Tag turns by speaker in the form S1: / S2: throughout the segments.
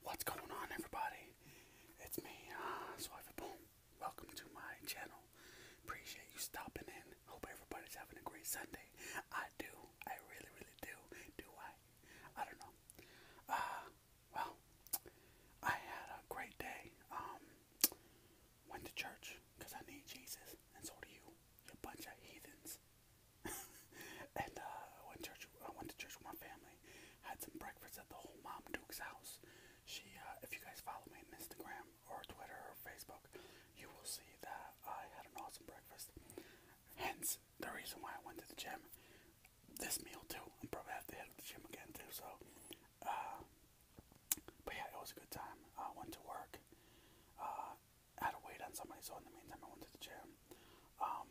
S1: What's going on, everybody? It's me, uh, Boom. Welcome to my channel. Appreciate you stopping in. Hope everybody's having a great Sunday. I do. I really, really do. Do I? I don't know. Uh, well, I had a great day. Um, went to church because I need Jesus, and so do you. You bunch of heathens. and uh, I went church. I went to church with my family. Had some breakfast at the whole mom Duke's house. She, uh, if you guys follow me on Instagram or Twitter or Facebook, you will see that I had an awesome breakfast. Hence the reason why I went to the gym. This meal too. I'm probably have to hit the gym again too. So, uh, but yeah, it was a good time. I went to work. Uh, I had to wait on somebody, so in the meantime, I went to the gym. Um,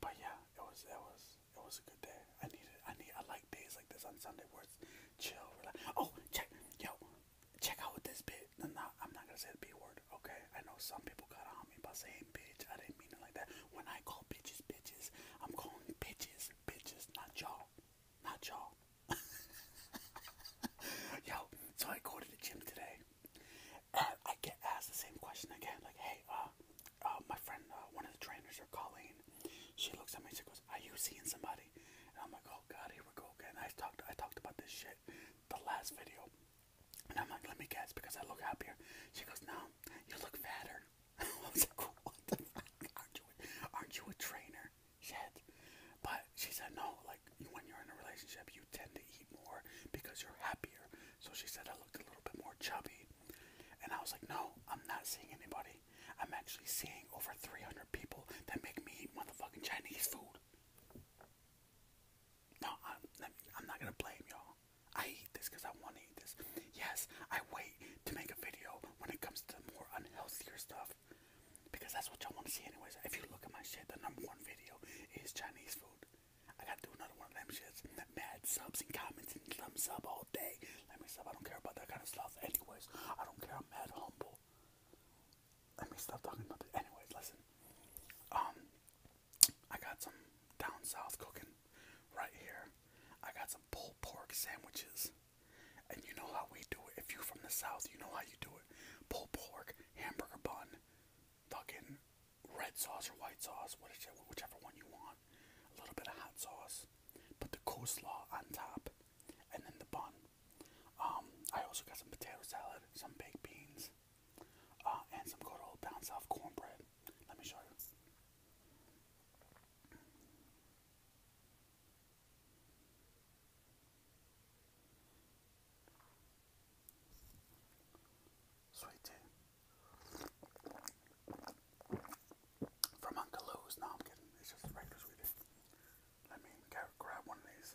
S1: but yeah, it was it was it was a good day. I needed I need I like days like this on Sunday where it's chill, relax. Oh, check yo, check out with this bit. No, no, I'm not gonna say the B word, okay? I know some people got on me by saying bitch. I didn't mean it like that. When I call bitches bitches, I'm calling bitches bitches, not y'all, not y'all. yo, so I go to the gym today. And I get asked the same question again, like, hey, uh, uh, my friend, uh, one of the trainers, or Colleen, she looks at me and she goes, are you seeing somebody? And I'm like, oh god, here we go again. I talked, I talked about this shit the last video, and I'm like, let me guess, because I look happier. She goes, no, you look fatter. I was like, what the fuck? Aren't you, a, aren't you a trainer? Shit. But she said, no, like, when you're in a relationship, you tend to eat more because you're happier. So she said, I looked a little bit more chubby. And I was like, no, I'm not seeing anybody. I'm actually seeing over 300 people that make me eat motherfucking Chinese food. No, I'm, I'm not gonna blame y'all. I eat this because I want to eat this. Yes, I wait to make a video when it comes to more unhealthy stuff because that's what y'all want to see, anyways. If you look at my shit, the number one video is Chinese food. I gotta do another one of them shits. Mad subs and comments and thumbs up all day. Let me stop. I don't care about that kind of stuff. Anyways, I don't care. I'm mad humble. Let me stop talking about it. Anyways, listen. Um, I got some down south cooking right here. I got some pulled pork sandwiches. And you know how we do it. If you're from the south, you know how you do it. Pulled pork, hamburger bun, fucking red sauce or white sauce, whichever one you want. A little bit of hot sauce. Put the coleslaw on top, and then the bun. Um, I also got some potato salad, some baked beans, uh, and some good old down south cornbread. Let me show you. Sweet from Uncle Lou's. No, I'm kidding. It's just the breakfast we do. Let me grab one of these.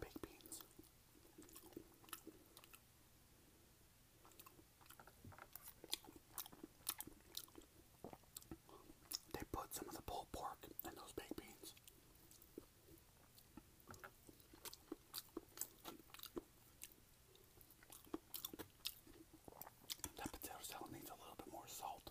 S1: baked beans. They put some of the pulled pork in those baked beans. That potato salad needs a little bit more salt.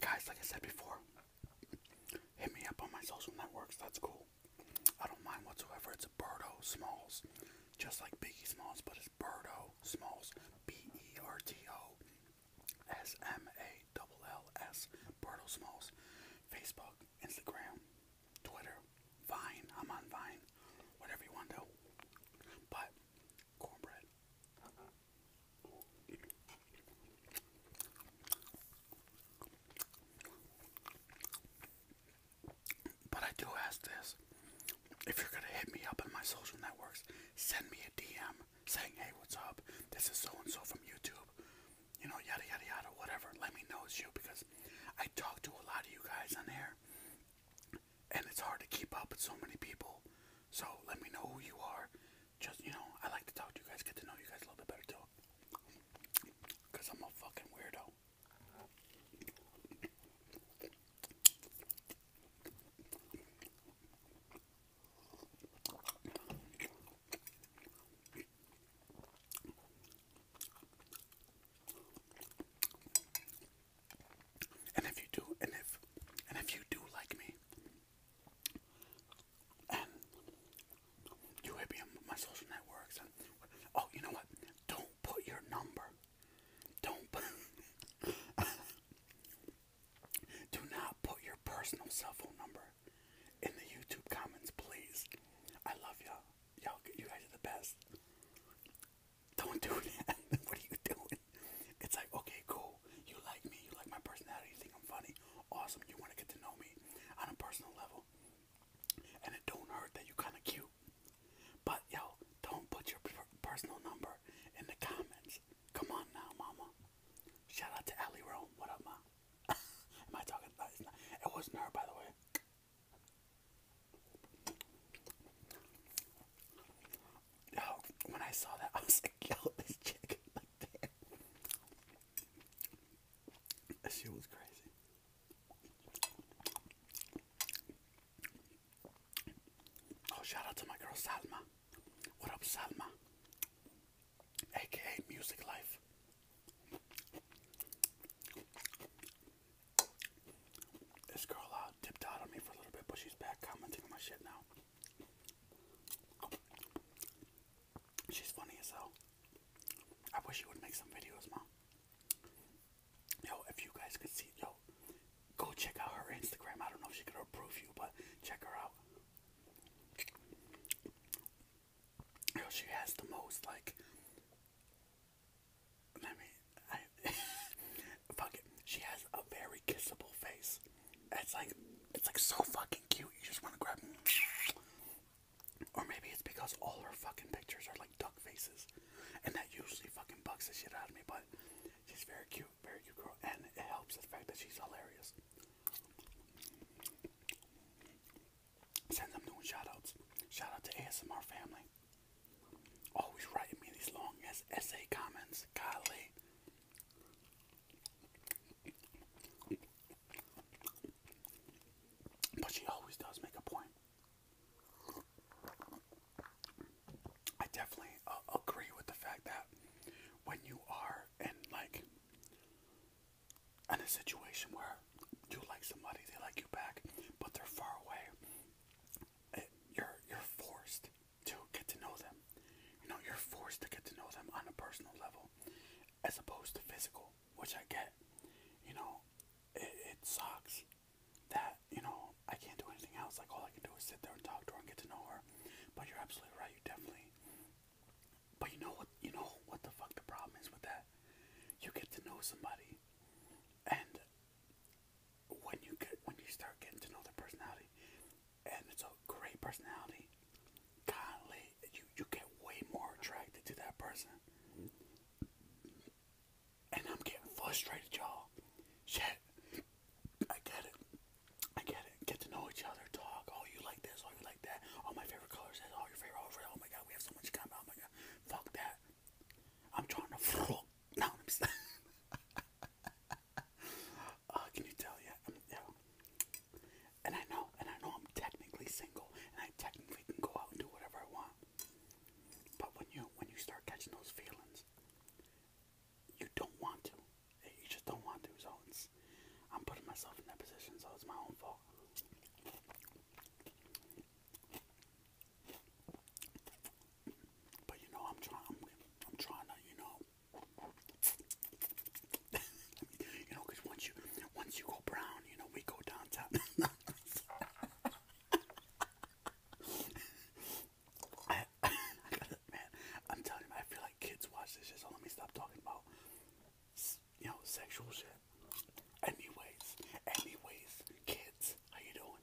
S1: guys, like I said before, hit me up on my social networks. That's cool. I don't mind whatsoever. It's Birdo Smalls, just like Biggie Smalls, but it's Birdo Smalls, B-E-R-T-O. S M A L L S Bartle Smalls, Facebook, Instagram, Twitter, Vine. I'm on Vine, whatever you want to. But cornbread. But I do ask this. If you're going to hit me up on my social networks, send me a DM saying, hey, what's up? This is so and so from YouTube. You know, yada, yada, yada, whatever. Let me know it's you because I talk to a lot of you guys on here and it's hard to keep up with so many people. So let me know who you are just you know, I like to talk to you guys, get to know you guys a little bit better too. i I'm a fucking weirdo. And if you do, and if, and if you do like me, you hit on my social networks. And, oh, you know what? Don't put your number. Don't. Do not put your personal cell phone number in the YouTube comments, please. I love y'all. Y'all, you guys are the best. Don't do that. what are you doing? it's like, okay, cool. You like me. You like my personality. You think I'm funny. Awesome. You want to get to know me on a personal level. And it don't hurt that you kind of cute. But, yo, don't put your personal number in the comments. Come on now, mama. Shout out to Allie Rome. What up, ma? Am I talking? No, It wasn't her, by the way yo, oh, when I saw that, I was like, yo, this chick, like, damn. That shit was crazy. Oh, shout out to my girl Salma. What up, Salma? AKA Music Life. This girl uh, dipped on me for a little bit, but she's back commenting on my shit now. She's funny as hell. I wish you would make some videos, mom. Yo, if you guys could see, yo, go check out her Instagram. I don't know if she could approve you, but check her out. Yo, she has the most like. Let me. fuck it. She has a very kissable face. It's like it's like so fucking cute. You just want to grab. Them. Or maybe it's because all her fucking pictures are like duck faces, and that usually fucking bucks the shit out of me. But she's very cute, very cute girl, and it helps the fact that she's hilarious. Since I'm doing shoutouts, shout out to ASMR family. Always writing me these long ass essay comments. Golly. But she always does make a point. I definitely uh, agree with the fact that when you are in like in a situation where you like somebody, they like you back, but they're far away, you're you're forced to get to know them. You know, you're forced to get to know them on a personal level as opposed to physical, which I get. You know, it, it sucks that, you know, I can't do anything else. Like, all I can do is sit there and talk to her and get to know her. But you're absolutely right. You definitely. But you know what? You know what the fuck the problem is with that? You get to know somebody, and when you get when you start getting to know their personality, and it's a great personality. Kindly, you you get way more attracted to that person. And I'm getting frustrated, y'all. Shit, I get it. I get it. Get to know each other, talk. Oh, you like this. Oh, you like that. Oh, my favorite color Oh, your favorite oh, oh my god, we have so much common. Oh my god, fuck that. I'm trying to. No, I'm. Uh, can you tell? Yeah, i um, yeah. And I know, and I know I'm technically single, and I technically can go out and do whatever I want. But when you when you start catching those feelings, you don't want to. Eh, you just don't want to. So I'm putting myself in that position, so it's my own fault. But you know, I'm trying. I'm trying to, you know, you know, once you once you go brown, you know, we go downtown. I, man, I'm telling you, I feel like kids watch this shit, let me stop talking about, you know, sexual shit. Anyways, anyways, kids, how you doing?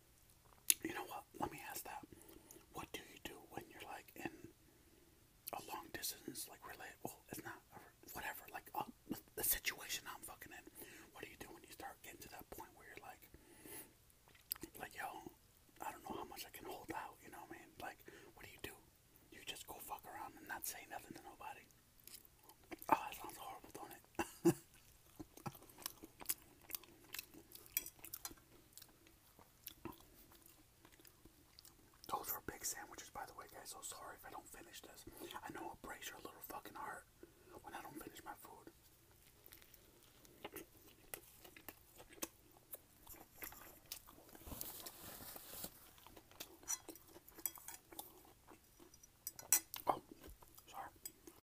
S1: You know what? Let me ask that. What do you do when you're like in a long distance, like relatable? Well, it's not whatever. Like uh, the situation I'm fucking in. What do you do when you start getting to that point where you're like, like yo, I don't know how much I can hold out. You know what I mean? Like, what do you do? You just go fuck around and not say nothing to nobody. Oh, that sounds horrible, don't it? Those are big sandwiches, by the way, guys. So sorry if I don't finish this. I know it breaks your little fucking heart when I don't finish my food. Oh, sorry.